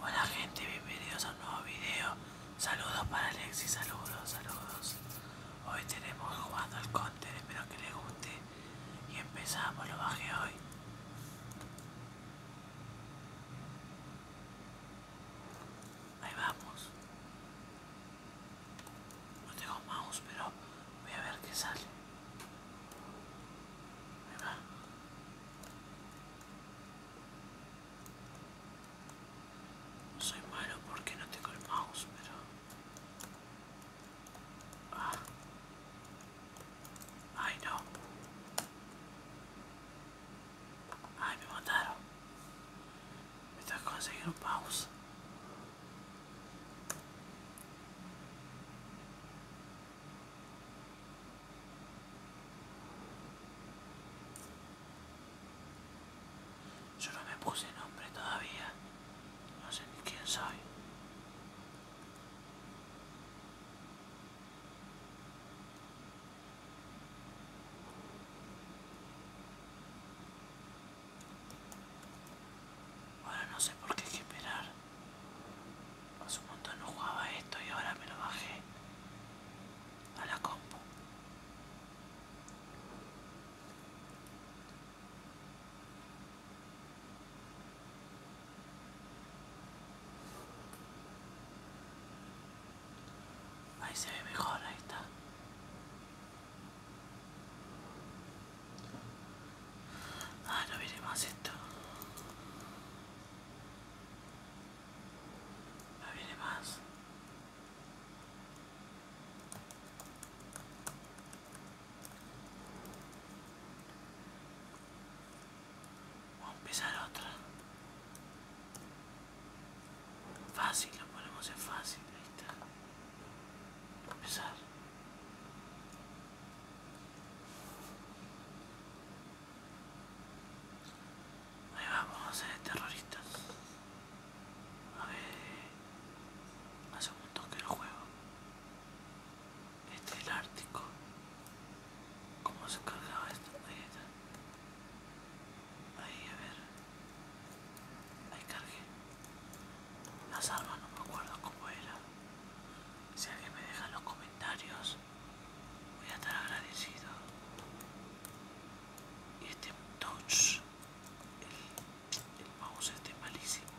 Hola gente, bienvenidos a un nuevo video. Saludos para Alexis, saludos, saludos. Hoy tenemos jugando al Conte, espero que les guste. Y empezamos, lo bajé hoy. Ahí vamos. No tengo mouse, pero voy a ver qué sale. Ahí va. Soy malo porque no tengo el mouse, pero... Ah. Ay, no. Ay, me mandaron! Me tengo que un mouse. Yo no me puse nombre todavía. No sé ni quién soy. Ahora no sé por qué hay que esperar hace un montón no jugaba esto y ahora me lo bajé a la compu Ahí se ve mejor, ahí está. Ah, no viene más esto. No viene más. Vamos a empezar otra. Fácil, lo ponemos hacer fácil, ahí está. Empezar. Ahí vamos, ser terroristas. A ver, hace un que el juego. Este es el Ártico. ¿Cómo se cargaba esto? Ahí está. Ahí, a ver. Ahí cargué. Las armas no me acuerdo cómo era. Si alguien me deja los comentarios, voy a estar agradecido. Y este touch, el, mouse este malísimo.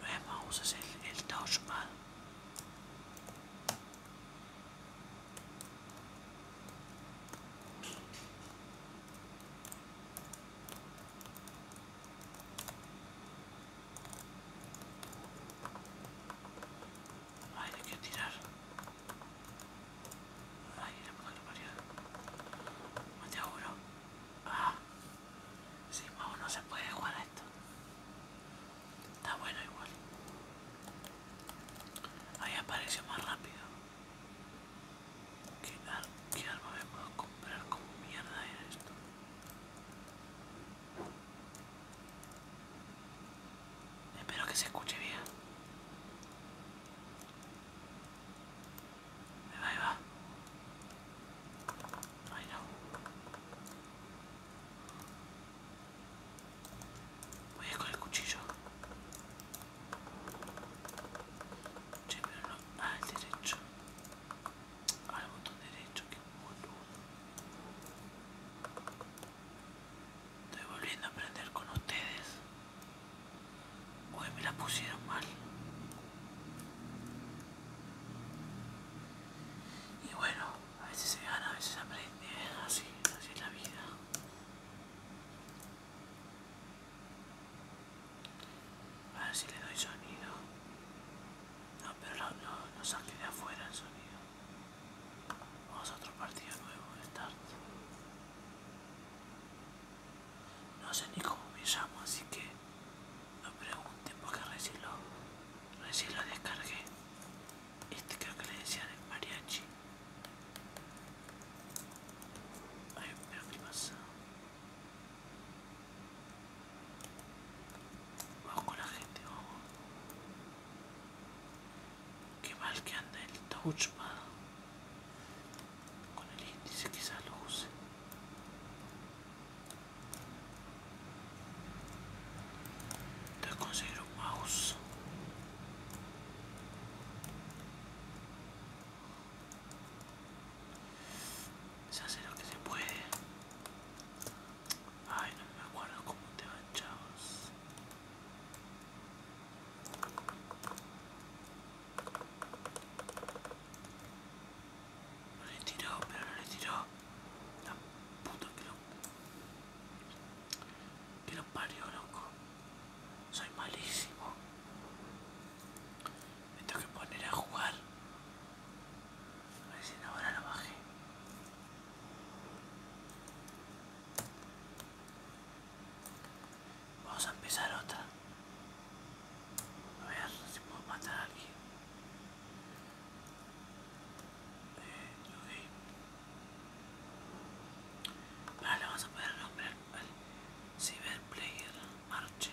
No es mouse, es el, el touchpad hay que tirar. Ay, la puta que parió. Mate te uno. Ah. sí, no se puede jugar esto. Está bueno igual. Ahí apareció más rápido. ¿Qué, arma me puedo comprar? ¿Cómo mierda era esto? Espero que se escuche bien. Me va, ahí va. no. Voy a ir con el cuchillo. Che, pero ah, derecho al botón derecho, que boludo. Estoy volviendo a aprender con ustedes. Hoy me la pusieron mal. Y bueno, a veces se gana, a veces se aprende, así, así es la vida. A ver si le doy sonido. No, pero no, no saqué de afuera el sonido. Vamos a otro partido nuevo, start. No sé ni cómo me llamo, así que no pregunten porque recién lo, lo descargué. Este creo que le decía de mariachi. Ay, pero qué pasa. Vamos con la gente, Qué mal que anda el touchpad. Con el índice quizás lo use. Entonces un mouse. Se hace lo que se puede. Ay, no me acuerdo cómo te van, chavos. No le tiró, pero no le tiró. La puta que lo... Que parió, loco. Soy malísimo. Me tengo que poner a jugar. A ver no ahora lo bajé. Vamos a empezar otra. A ver si puedo matar aquí. Eh, ok. Ahora vamos a poner nombre al, ciberplayer Cyberplayer Marche.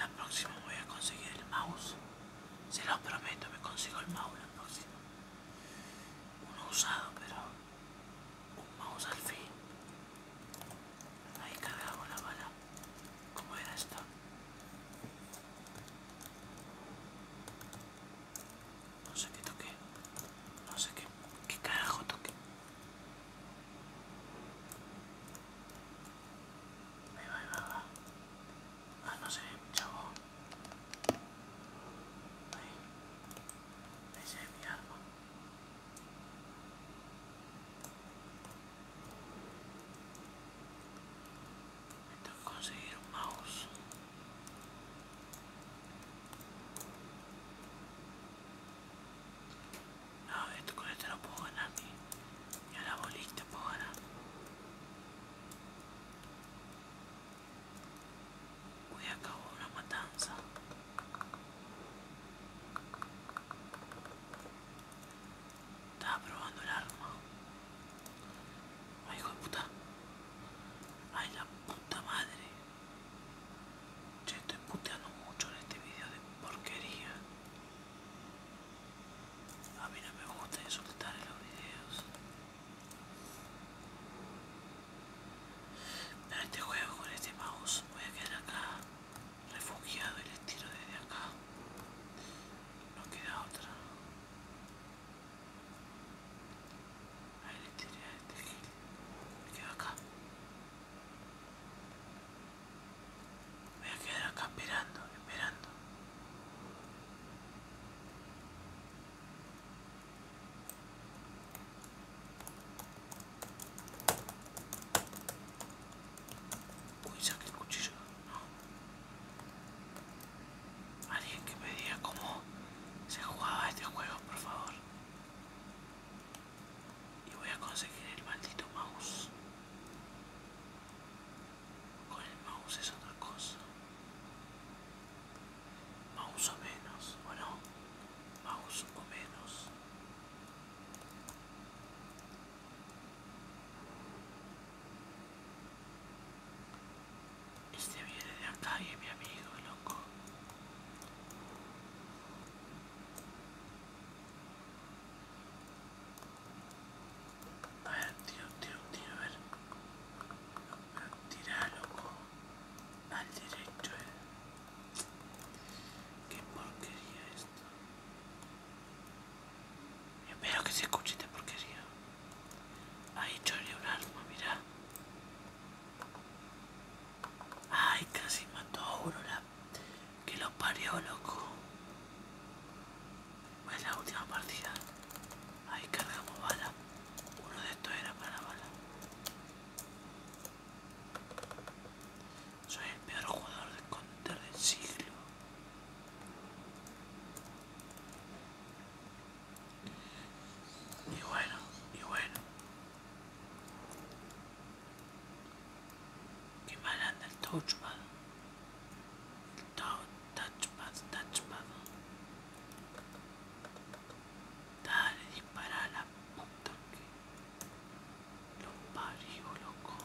La próxima voy a conseguir el mouse Se lo prometo, me consigo el mouse la próxima Uno usado pero un mouse al fin Ahí cargaba la bala. ¿Cómo era esto? No sé qué toqué. No sé qué, qué carajo toqué. Ahí va, ahí va, Ah, no sé, chavo. Ahí. se ve mi arma. Tengo que conseguir un mouse. No, esto con este no puedo ganar ni, ni a la bolita puedo ganar. Uy, acabo una matanza. Estaba probando el arma. Ay, hijo de puta. Ay, la puta madre. Yo estoy puteando mucho en este video de porquería. A mí no me gusta insultar en los videos. Pero este juego con este mouse voy a quedar acá refugiado y le tiro desde acá. No queda otra. Ahí le tiré a este Me quedo acá. voy a quedar acá esperando, esperando. Uy, saqué el cuchillo. Alguien que me diga cómo se jugaba este juego, por favor. Y voy a conseguir el maldito mouse. Con el mouse es otra cosa. Mouse o menos, ¿o no? más o menos este viene de acá mi amigo loco a ver tío tío tío a ver Tira loco al derecho eh. Qué porquería esto. espero que se escuche esta porquería. Ahí choré un arma, mirá. Ay, casi mató a Aurora. Que lo parió, loco. Es la última partida. Ahí cargamos bala. Uno de estos era para bala. Soy el peor jugador de counter del siglo. Y bueno, y bueno. Qué mal anda el touchpad. El touchpad, touchpad. Dale, dispara la puta que lo loco.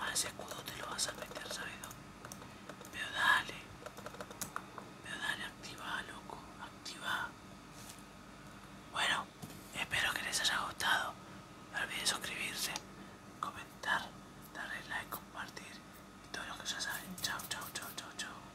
A ese escudo te lo vas a meter, ¿sabes? Pero dale, pero dale, activa, loco, activa. Bueno, espero que les haya gustado. No olviden suscribirse, comentar, darle like, compartir y todo lo que ya saben. Chao, chao, chao, chao, chao.